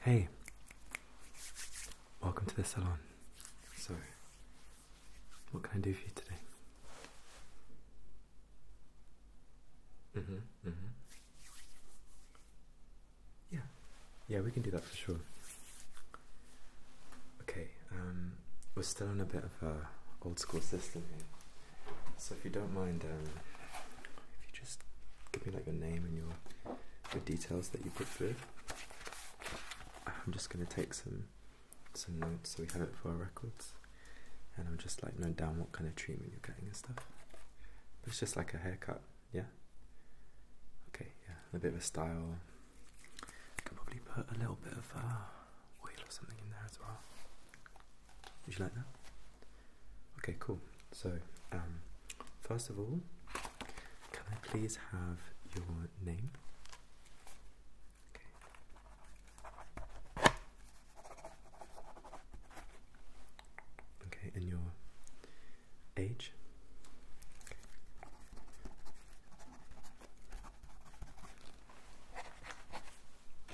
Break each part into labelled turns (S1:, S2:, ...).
S1: Hey, welcome to the salon. So, what can I do for you today? Mm-hmm, mm-hmm. Yeah, yeah, we can do that for sure. Okay, um, we're still on a bit of a old school system here. So if you don't mind, um, if you just give me like your name and your the details that you put through. I'm just going to take some some notes so we have it for our records, and I'm just like note down what kind of treatment you're getting and stuff. But it's just like a haircut, yeah. Okay, yeah, a bit of a style. I could probably put a little bit of uh, oil or something in there as well. Would you like that? Okay, cool. So, um, first of all, can I please have your name? Okay. Okay, and your age?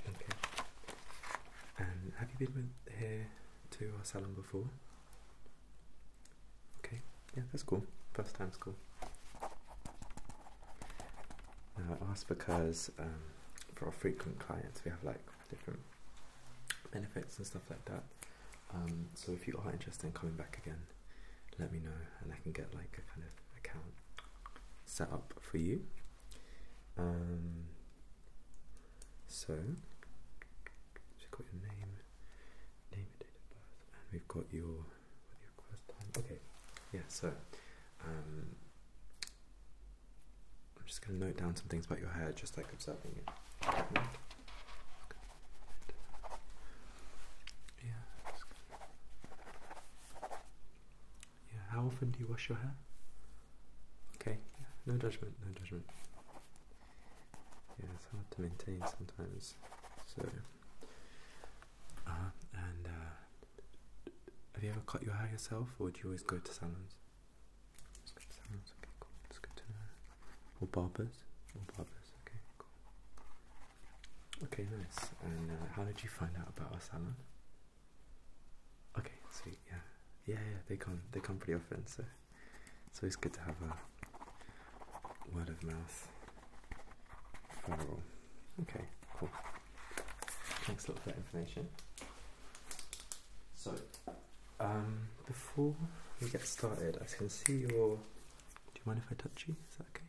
S1: Okay. And have you been here to our salon before. Okay, yeah, that's cool. First time's cool. Now I because um, for our frequent clients, we have like different benefits and stuff like that. Um, so if you are interested in coming back again, let me know and I can get like a kind of account set up for you. Um, so, so got your name, name and date of birth, and we've got your Okay, yeah. So, um, I'm just gonna note down some things about your hair, just like observing it. Yeah. Yeah. How often do you wash your hair? Okay, no judgment, no judgment. Yeah, it's hard to maintain sometimes. So, uh-huh. uh, and have you ever cut your hair yourself, or do you always go to salons? Go to salons, okay, cool. That's to uh, Or barbers, or barbers, okay, cool. Okay, nice. And uh, how did you find out about our salon? Okay, See yeah, yeah, yeah. They come, they come pretty often. So it's always good to have a word of mouth Okay, cool. Thanks a lot for that information. So, um, before we get started, I can see your. Do you mind if I touch you? Is that okay?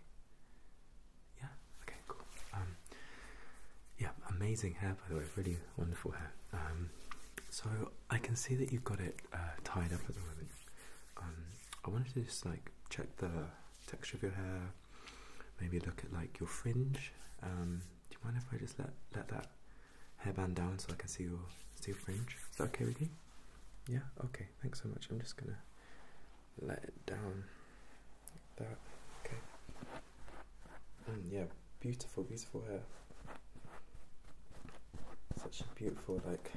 S1: Yeah. Okay. Cool. Um. Yeah. Amazing hair, by the way. Really, wonderful hair. Um, so I can see that you've got it uh, tied up at the moment. Um, I wanted to just like check the texture of your hair, maybe look at like your fringe. Um, do you mind if I just let let that hairband down so I can see your see your fringe? Is that okay with you? Yeah. Okay. Thanks so much. I'm just gonna let it down. Like that okay. yeah, beautiful, beautiful hair. Such a beautiful like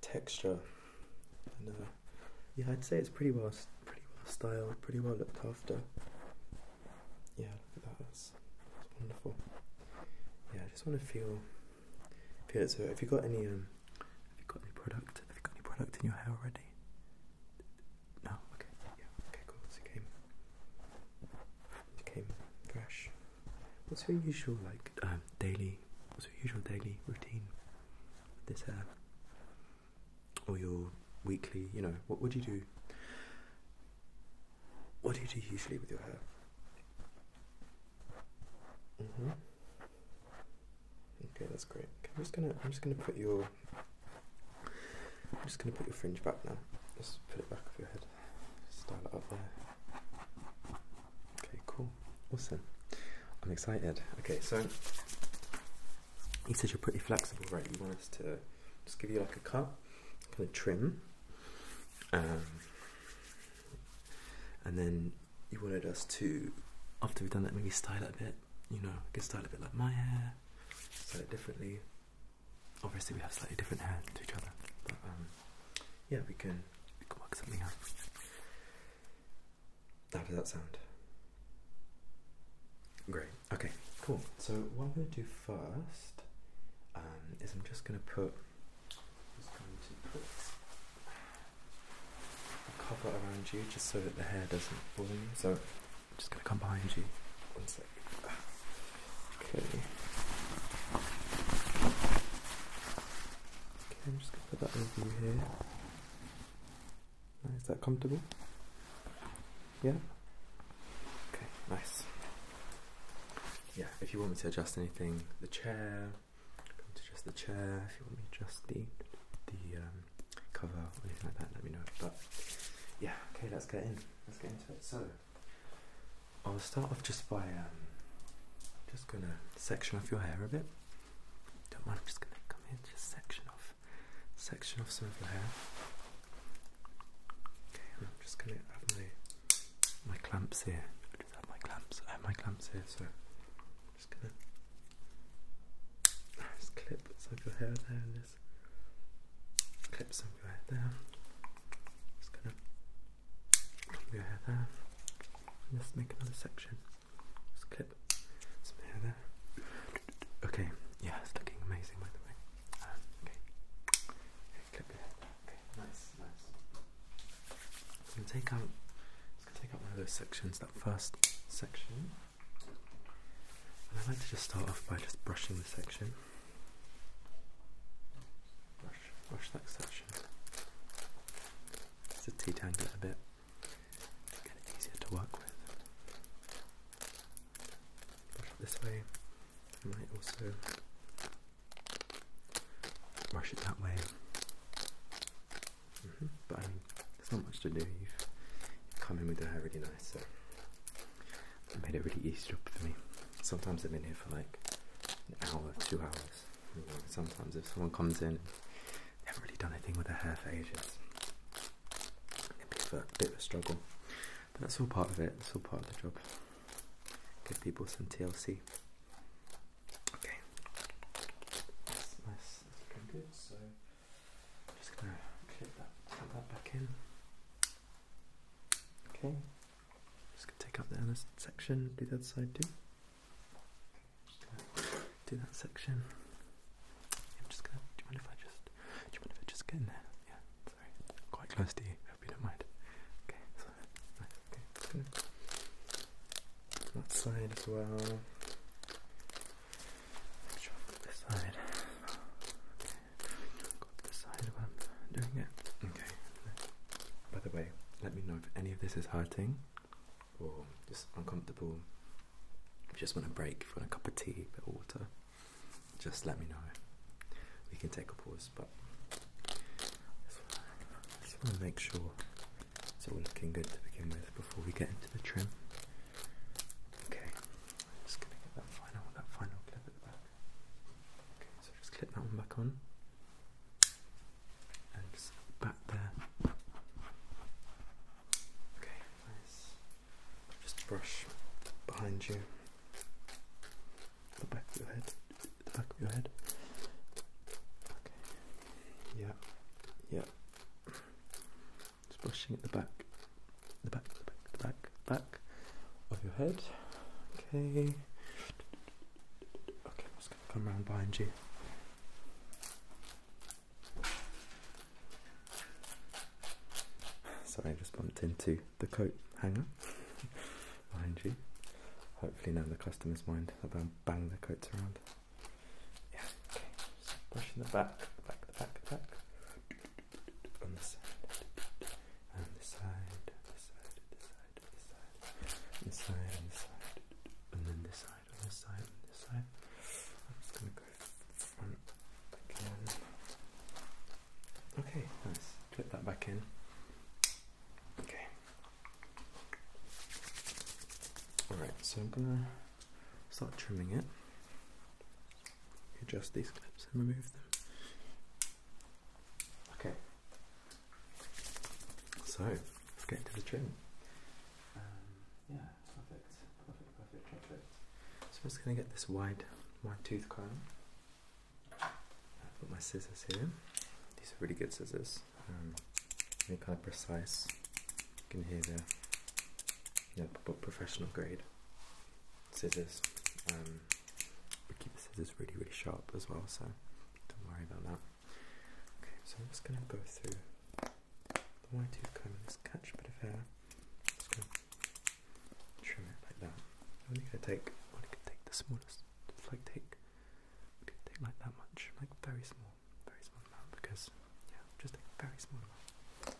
S1: texture, uh, yeah, I'd say it's pretty well, pretty well styled, pretty well looked after. Yeah, look at that. That's, wonderful. Yeah, I just want to feel feel it. So, have you got any um, you got any product? Have you got any product in your hair already? No, oh, okay, yeah, okay, cool. it came, it came fresh. What's your usual like um, daily? What's your usual daily routine this hair? Uh, or your weekly? You know, what would you do? What do you do usually with your hair? Mhm. Mm okay, that's great. I'm just gonna, I'm just gonna put your I'm just going to put your fringe back now. Just put it back of your head. Style it up there. Okay, cool. Awesome. I'm excited. Okay, so he says you're pretty flexible, right? You want us to just give you like a cut, kind of trim, um, and then you wanted us to, after we've done that, maybe style it a bit. You know, get style it a bit like my hair, style it differently obviously we have slightly different hair to each other, but um, yeah, we can work something out. How does that sound? Great. Okay. Cool. So what I'm going to do first um, is I'm just going to put a cover around you just so that the hair doesn't fall in. So I'm just going to come behind you. Okay. Okay, I'm just going to put that over you here. Is that comfortable? Yeah? Okay, nice. Yeah, if you want me to adjust anything, the chair, adjust the chair, if you want me to adjust the, the um, cover or anything like that, let me know. But yeah, okay, let's get in let's get into it. So, I'll start off just by um, just going to section off your hair a bit. Don't mind, I'm just going to come in, just section off, section off some of your hair. Okay, I'm just going to have my my clamps here. I just have my clamps. I have my clamps here, so I'm just going to just clip the side of your hair there and Clip some of your hair there. Just gonna clip your hair there. just make another section. Just clip some hair there. Okay, yeah, it's looking amazing by the way. Um, okay. clip your hair Okay, nice, nice. I'm gonna take out. Just gonna take out one of those sections. That first section. And I like to just start off by just brushing the section. Brush, brush that section. It's a detangle it a bit. Get it easier to work with. Brush it this way. I might also brush it that way. Mm-hmm. But um, there's not much to do. You've, come in with your hair really nice, so it made it really easy job for me. Sometimes I've been here for like an hour, two hours. Sometimes if someone comes in, they haven't really done anything with their hair for ages. it can be a bit of a struggle, but that's all part of it. It's all part of the job. Give people some TLC. Okay. nice. good. So just going to clip that, clip that back in. Okay, just going to take up the inner section, do that side too. Do that section. I'm just gonna. Do you mind if I just? Do you mind if I just get in there? Yeah, sorry. quite close to you. I hope you don't mind. Okay, so Okay, That side as well let this side. Okay. this side I'm doing it. Okay. By the way, let me know if any of this is hurting or just uncomfortable. If you just want a break, if you want a cup of tea, a bit of water, just let me know. We can take a pause, but I just want to make sure it's all looking good to begin with before we get into the trim. Okay, just gonna get that final that final clip at the back. Okay, so just clip that one back on. And just back there. Okay, nice. Just brush behind you. The back of your head. The back of your head. Okay. Yeah. Yeah. Brushing at the back, the back, the back, the back, back of your head. Okay. Okay, I'm just gonna come around behind you. Sorry, I just bumped into the coat hanger behind you. Hopefully now the customer's mind about bang the coats around. Okay, just brushing the back, the back, the back, the back. On the side, on the side, on the side, on the side, on the side, on the side, on the side, and then this side, on this side, on this side. I'm just gonna go front again. Okay, nice. Clip that back in. Okay. Alright, so I'm gonna start trimming it. Adjust these clips and remove them. Okay, so let's get to the trim. Um, yeah, perfect, perfect, perfect, perfect. So I'm just going to get this wide, wide tooth comb. I've got my scissors here. These are really good scissors. Um, really kind of precise. You can hear the yep, professional grade scissors. Um, we keep the scissors really, really sharp as well, so don't worry about that. Okay, so I'm just going to go through the white tooth comb and just catch a bit of hair. Just going to trim it like that. I'm only going to take, I'm only going to take the smallest, just like take, take like that much, like very small, very small amount because, yeah, just a very small amount.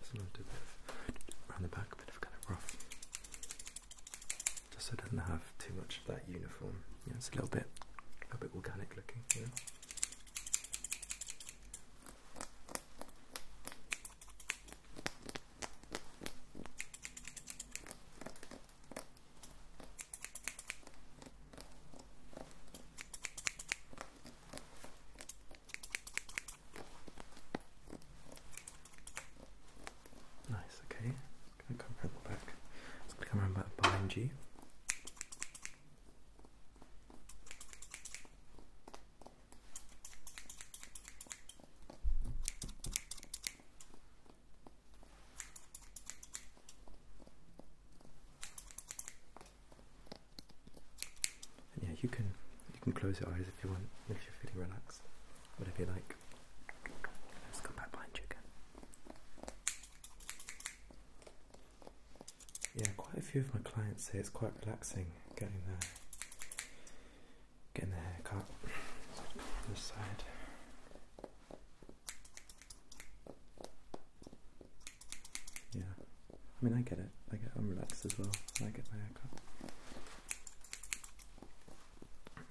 S1: Just a little bit around the back, a bit of kind of rough. Just so it doesn't have too much of that uniform. Yeah, it's a little bit, a bit organic looking. You Nice, okay. It's gonna come around the back. come around back behind you yeah, you can you can close your eyes if you want, if you're feeling relaxed, whatever you like. Let's come back behind you again. Yeah, quite a few of my clients say it's quite relaxing getting there getting the haircut on this side. Yeah, I mean I get it. I get I'm relaxed as well. I get my haircut.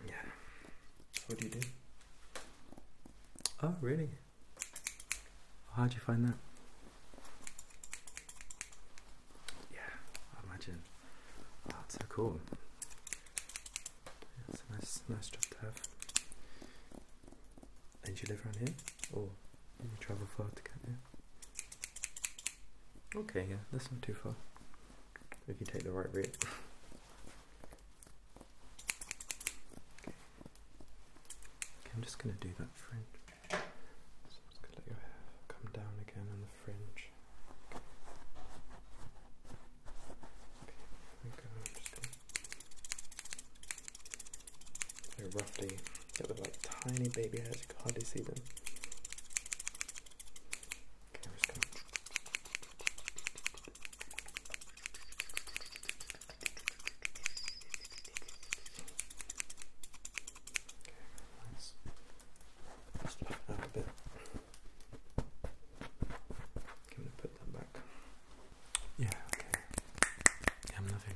S1: Yeah. what do you do? Oh really? How'd you find that? Yeah, I imagine. that's oh, so cool. it's a nice, nice job to have. And you live around here? Or you travel far to get here? Okay, yeah, that's not too far. If you take the right route. I'm just gonna do that fringe. So just gonna let your hair come down again on the fringe. Okay, they're roughly, yeah, they like tiny baby hairs, you can hardly see them. Okay, I'm just going it out a bit. Can we put that back? Yeah, Yeah, I'm nothing.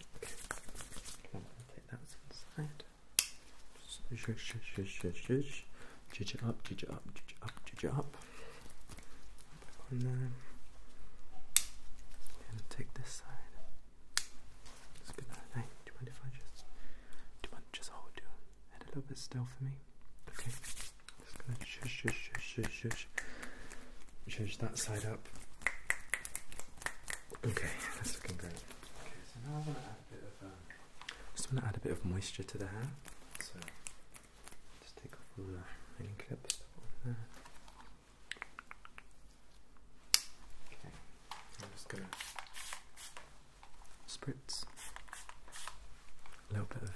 S1: Okay. take that inside. Shush, shush, shush, shush, Judge it up, judge it up, up, up. Back on there. And take this side. It's good night. Hey, do you mind if I just do you mind just hold your head a little bit still for me? Okay. Just gonna shush shush shush shush shush. Shush that side up. Okay, that's looking great. Okay, so now I want to add a bit of moisture to the hair. So just take off the remaining clips. Okay, I'm just gonna spritz a little bit of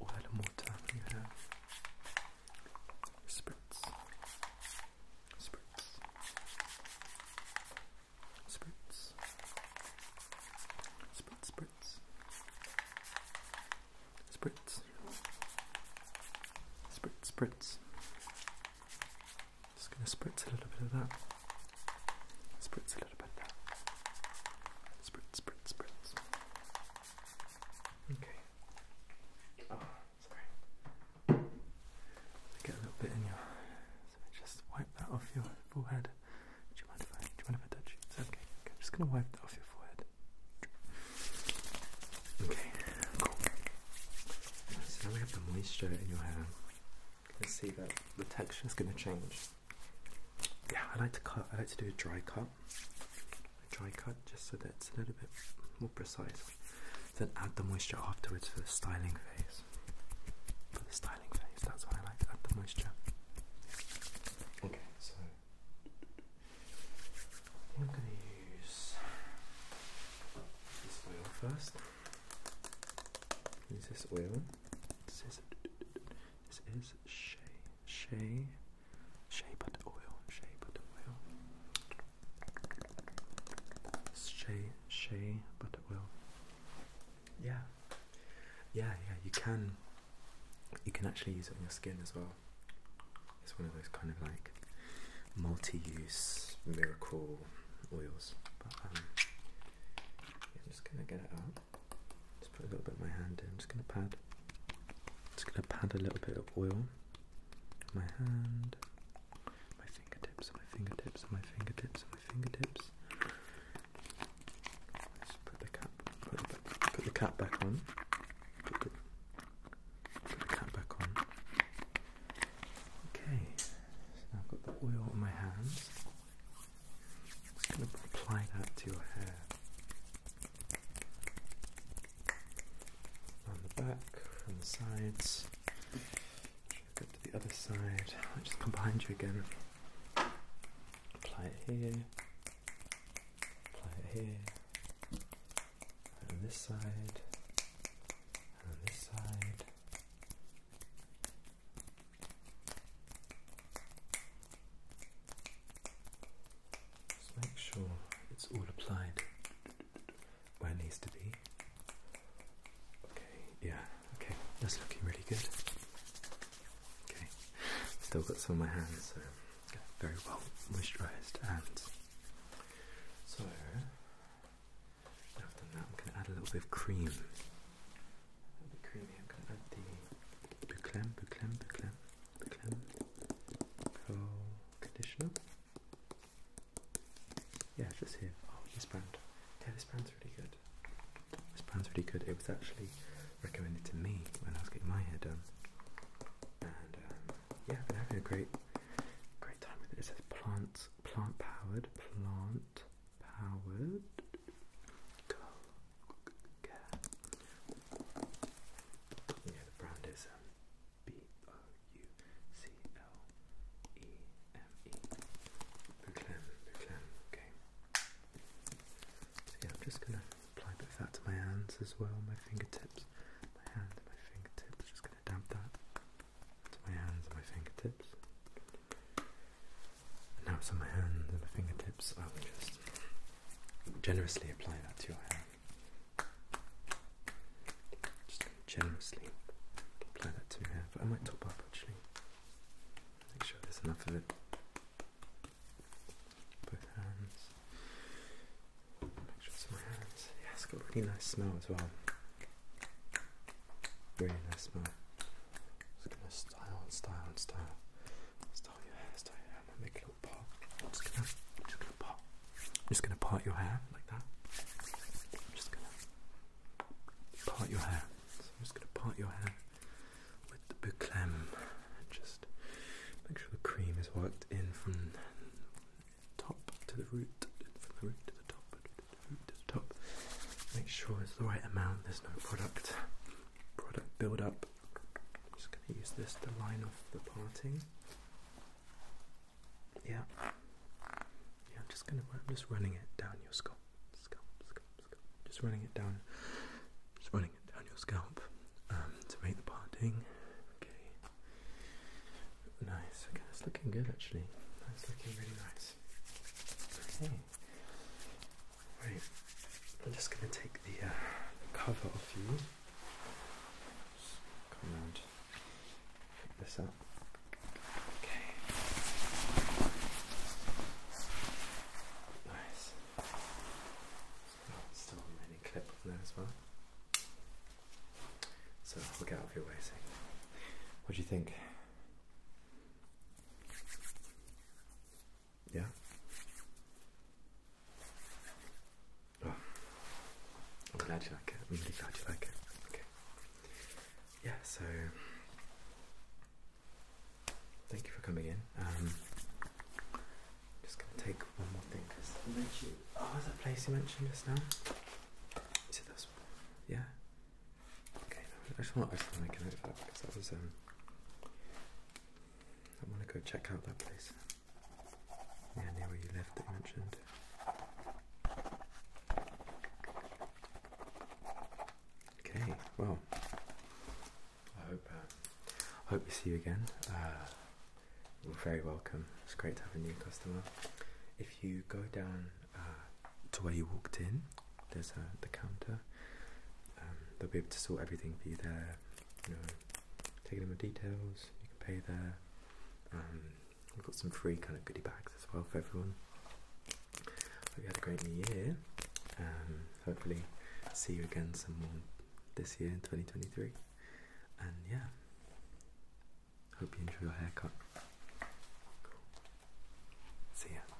S1: water on your hair. Spritz. Spritz. Spritz. Spritz, spritz. Spritz. Spritz, spritz. Just going to spritz a little bit of that. Spritz a little bit of that. Spritz, spritz, spritz. Okay. Oh, sorry. I get a little bit in your. just wipe that off your forehead. Do you mind if I, do you mind if I touch you? It's okay. I'm just going to wipe that off your forehead. Okay, So now we have the moisture in your hair. You can see that the texture is going to change. Yeah, I like to cut. I like to do a dry cut a dry cut just so that it's a little bit more precise. Then add the moisture afterwards for the styling phase. For the styling phase, that's why I like add the moisture. Okay, so I'm going to use this oil first. Use this oil. this is Shea, Shea Shea butter oil, shea butter oil. Shea, shea butter oil. Yeah, yeah, yeah. You can, you can actually use it on your skin as well. It's one of those kind of like multi-use miracle oils. Um, I'm just gonna get it out. Just put a little bit of my hand in. just gonna pad. Just gonna pad a little bit of oil. My hand, my fingertips, my fingertips, my fingertips, my fingertips. Let's put the cap. Put the, cap back on. Put the, cap back on. Okay. So now I've got the oil on my hands. just gonna apply that to your hair on the back, from the sides. Go to the other side. i just come behind you again. Apply it here. Apply it here. And on this side. And on this side. Just make sure it's all applied where it needs to be. Okay, yeah, okay, that's looking really good. Okay, still got some on my hands, so very well moisturised and so after that I'm going to add a little bit of cream. I'm going to add the Buclem, Buclem, Buclem. Clem Pro Conditioner. Yeah, just here. Oh, this brand. Yeah, this brand's really good. This brand's really good. It was actually recommended to me when I was getting my hair done. And um, yeah, I've been having a great, great time with it. It says plant, plant powered, plant powered yeah, the brand is um, B O U C L E M E. Buclem, Buclem, okay. So yeah, I'm just gonna apply a bit of that to my hands as well, my fingertips, my hand, my fingertips. Just gonna dab that to my hands and my fingertips. Now it's on my hands and my fingertips. I'll just generously apply that to your hand. Just generously apply that to your hand. But I might top up actually. Make sure there's enough of it. Both hands. Make sure it's my hands. Yeah, it's got a really nice smell as well. Really nice smell. Just gonna style and style and style. I'm just gonna, part. your hair like that. part your hair. just gonna part your hair with the bouclem. Just make sure the cream is worked in from top to the root, from the root to the top, the root to the top. Make sure it's the right amount. There's no product, product buildup. I'm just going to use this to line off the parting. Yeah. Yeah, I'm just going to, I'm just running it down your scalp. Scalp, scalp, scalp. Just running it down. Just running it down your scalp um, to make the parting. Okay. Nice. Okay, that's looking good actually. That's looking really nice. Okay. Right, I'm just going to take uh, the, cover off you. come around, pick this up. Okay. Nice. Still remaining clip there as well. So we out of your way. See. What do you think? Yeah. I'm glad you like it. I'm really glad you like it. Okay. Yeah. So, thank you for coming in. Um, just gonna take one more thing because you mentioned. Oh, was that place you mentioned just now? Is it this Yeah. Okay. I just want to make a note of that because that was um. I want to go check out that place. Yeah, near where you left that you mentioned. Okay, well, I hope uh, I hope we see you again. Uh, you're very welcome. It's great to have a new customer. If you go down uh, to where you walked in, there's the counter. Um, they'll be able to sort everything for you there. You know, taking in the details. You can pay there. Um, we've got some free kind of goodie bags as well for everyone. Hope you had a great new year. Um, hopefully, see you again some more this year in 2023. And yeah, hope you enjoy your haircut. See ya.